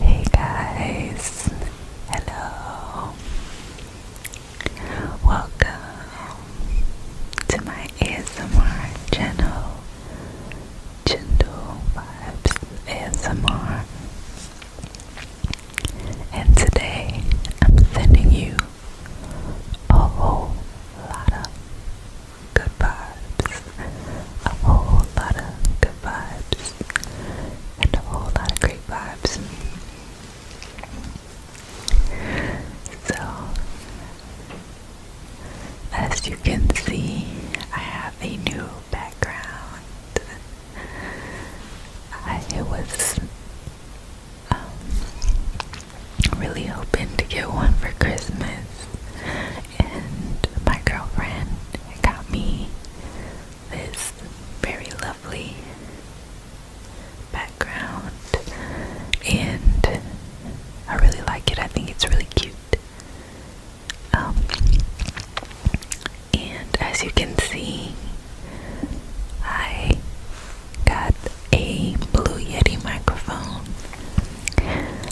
Hey guys, hello, welcome to my ASMR channel, Gentle Vibes ASMR, and today I'm sending you a whole lot good vibes, a whole lot of good vibes, and a whole lot of great vibes. So, as you can see, I have a new background. I was um, really hoping to get one for Christmas, and my girlfriend got me this very lovely background and I really like it. I think it's really cute. Um, and as you can see, I got a Blue Yeti microphone.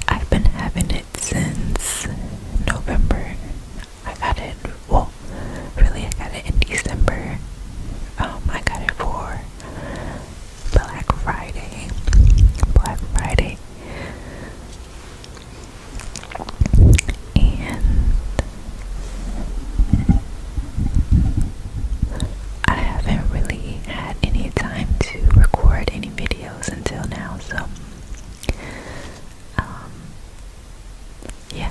I've been having it since November. I got it, well, really I got it in December. Um, I got it for Black Friday. Black Friday. And I haven't really had any time to record any videos until now, so um, yeah,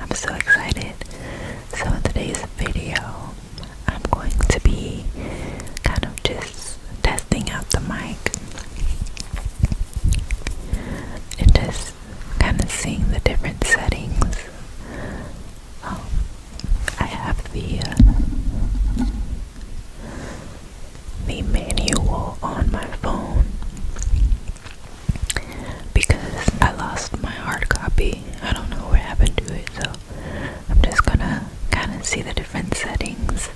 I'm so excited. So, in today's video, I'm going to be kind of just testing out the mic and just kind of seeing the different settings. Um, I have the uh, the manual on my phone because I lost my hard copy. I don't know what happened to it, so I'm just gonna kind of see the different settings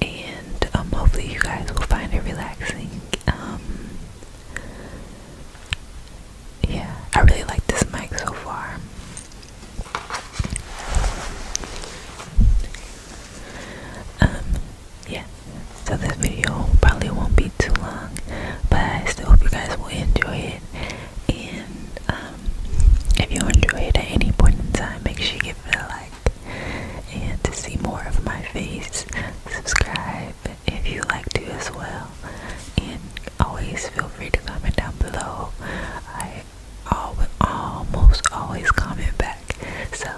and um, hopefully you guys will find it relaxing. Um, yeah, I really like this mic so far. Um, yeah, so this video probably won't be too long, but I still hope you guys will enjoy it. And um, if you enjoy it at any point in time, make sure you give it a like. And to see more of my face, subscribe if you like to as well. And always feel free to comment down below. I all almost always comment back. So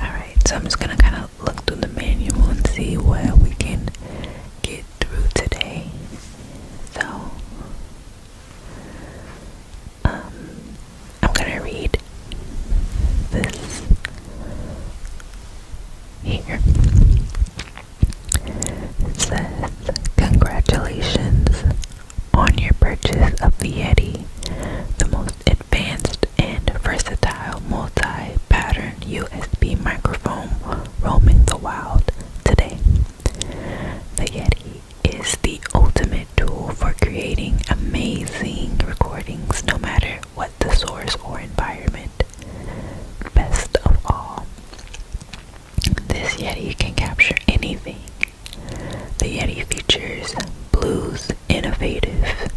Alright, so I'm just gonna kinda look through the manual and see what we can get through today. So um I'm gonna read this here says, Congratulations on your purchase of the Yeti, the most advanced and versatile multi pattern USB microphone roaming the wild today. The Yeti is the ultimate tool for creating amazing recordings no matter what the source or environment. Best of all, this Yeti can capture anything. The Yeti features Blue's innovative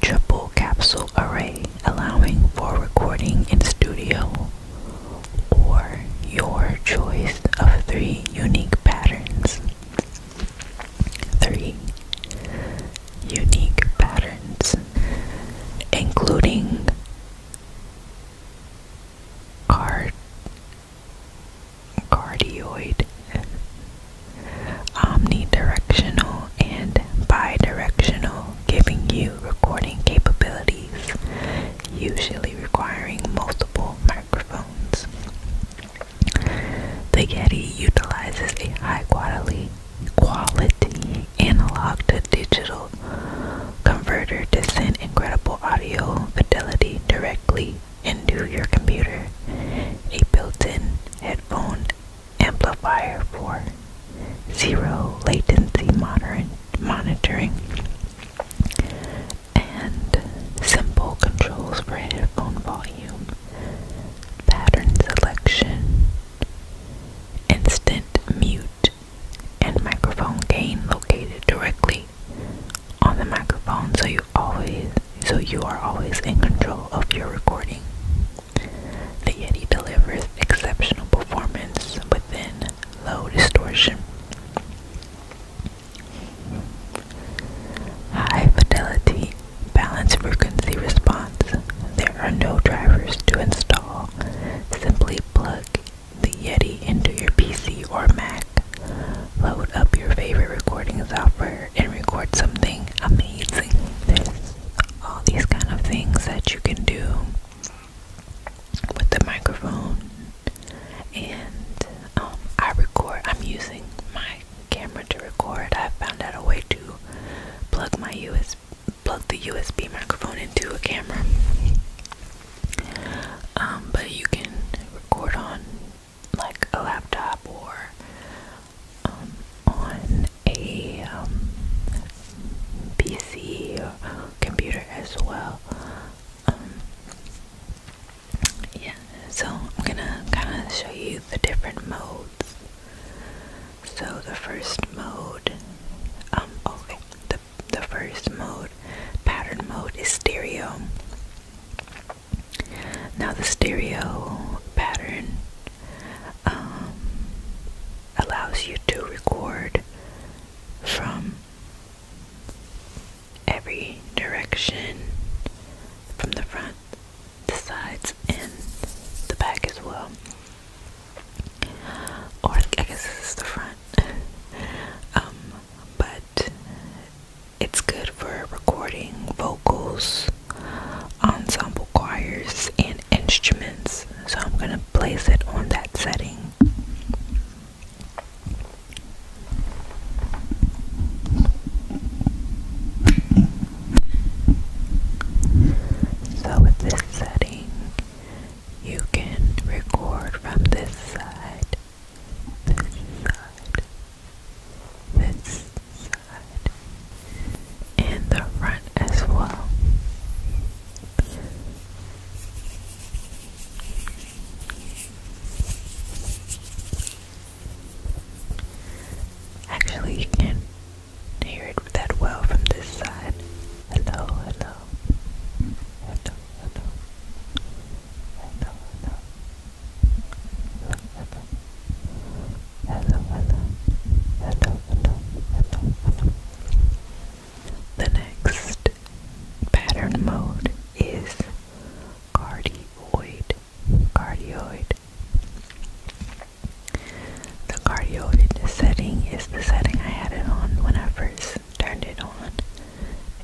triple capsule array, allowing for recording in studio or your choice of three unique patterns. Three unique patterns, including Card cardioid, omnidirectional and bidirectional, giving you recording capabilities, usually requiring multiple microphones. The Getty utilizes a high quality quality analog to digital converter to send incredible audio fidelity directly into your computer. A built-in headphone amplifier for zero latency monitoring and simple controls for headphone volume, pattern selection, instant mute and microphone gain located directly on the microphone so you always so you are always in control of your recording. The Yeti delivers exceptional performance within low distortion. High fidelity balanced frequency response. There are no drivers to install. Simply plug the Yeti into your PC or Mac. Load up your favorite recording software and record something amazing. There's all these kind of things that you can do with the microphone. And um, I record, I'm using my camera to record. I have found out a way to plug my USB plug the USB microphone into a camera. Um, but you can record on like a laptop or um, on a um, PC computer as well. yeah, so I'm gonna kind of show you the different modes. So the first mode, um, okay, oh, the first mode, pattern mode, is stereo. Now, the stereo pattern um, allows you to record from every direction from the front, the sides, and the back as well. Or I guess this is the front. Um, but it's good for recording vocals, ensemble choirs, and instruments. So I'm gonna place it on that setting. So with this setting, you can record from this side, this side, this side, and the front as well. Actually, you can hear it that well from this side. hello, hello, hello. The next pattern mode is cardioid. Cardioid. The cardioid setting is the setting I had it on when I first turned it on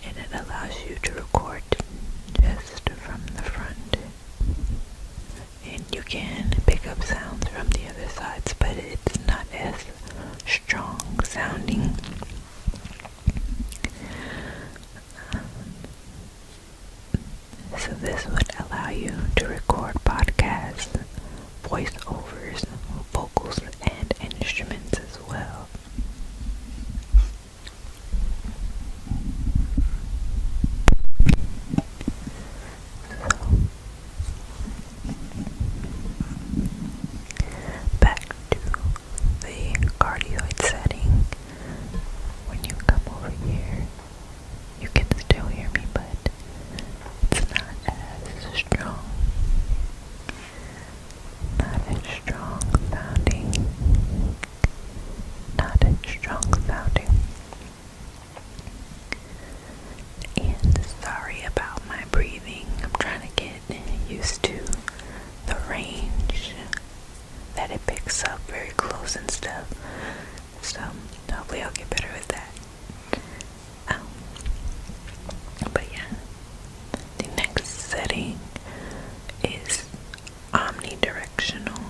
and it allows you to record just from the front and you can pick up sounds from the other sides but it's not as strong sounding so this would allow you to record podcasts voiceovers, vocals, and instruments as well. back to the cardioid setting. When you come over here, you can still hear me, but it's not as strong. Not a strong founding. Not a strong founding. And sorry about my breathing. I'm trying to get used to the range that it picks up very close and stuff. So hopefully I'll get better with that. Oh. but yeah, the next setting is omnidirectional.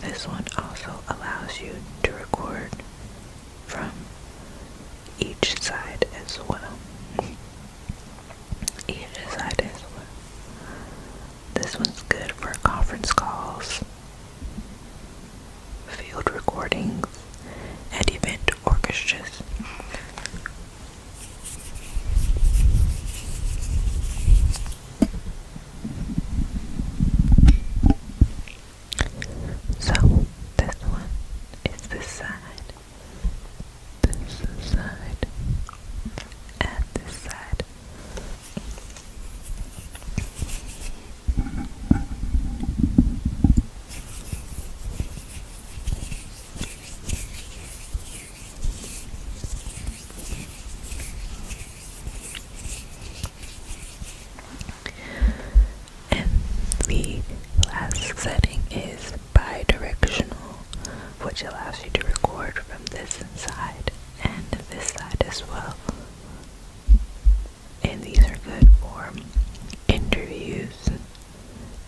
This one also allows you to record from each side as well. Each side as well. This one's good for conference calls field recordings, and event orchestras. So, this one is this side, this side, and this side. And the last setting is bidirectional, which allows you to record from this side and this side as well and these are good for interviews,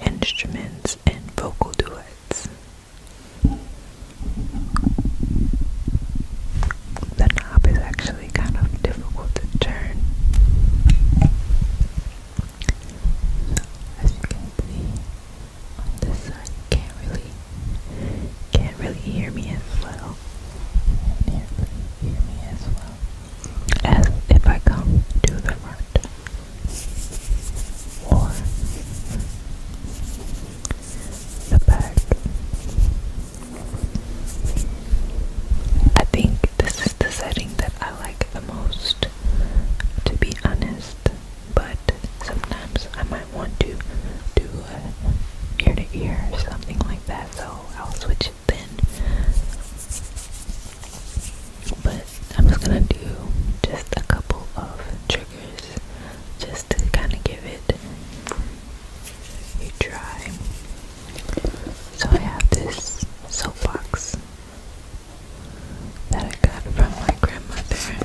instruments, and vocal duets. The knob is actually kind of difficult to turn. as you can see, on this side can't really, can't really hear me as well. Can't hear me as well as if I come to the front. Or the back. I think this is the setting that I like the most, to be honest. But sometimes I might want to do ear to ear something like that, so I'll switch should But I'm just gonna do just a couple of triggers just to kind of give it a try. So I have this soap box that I got from my grandmother.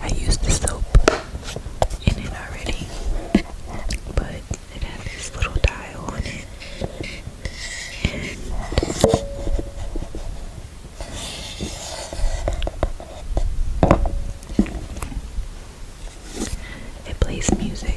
I use the soap in it already, but it has this little dial on it. it plays music.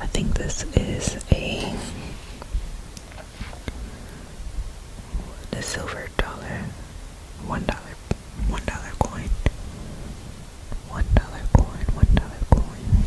I think this is a the silver dollar, one dollar, one dollar coin, one dollar coin, one dollar coin.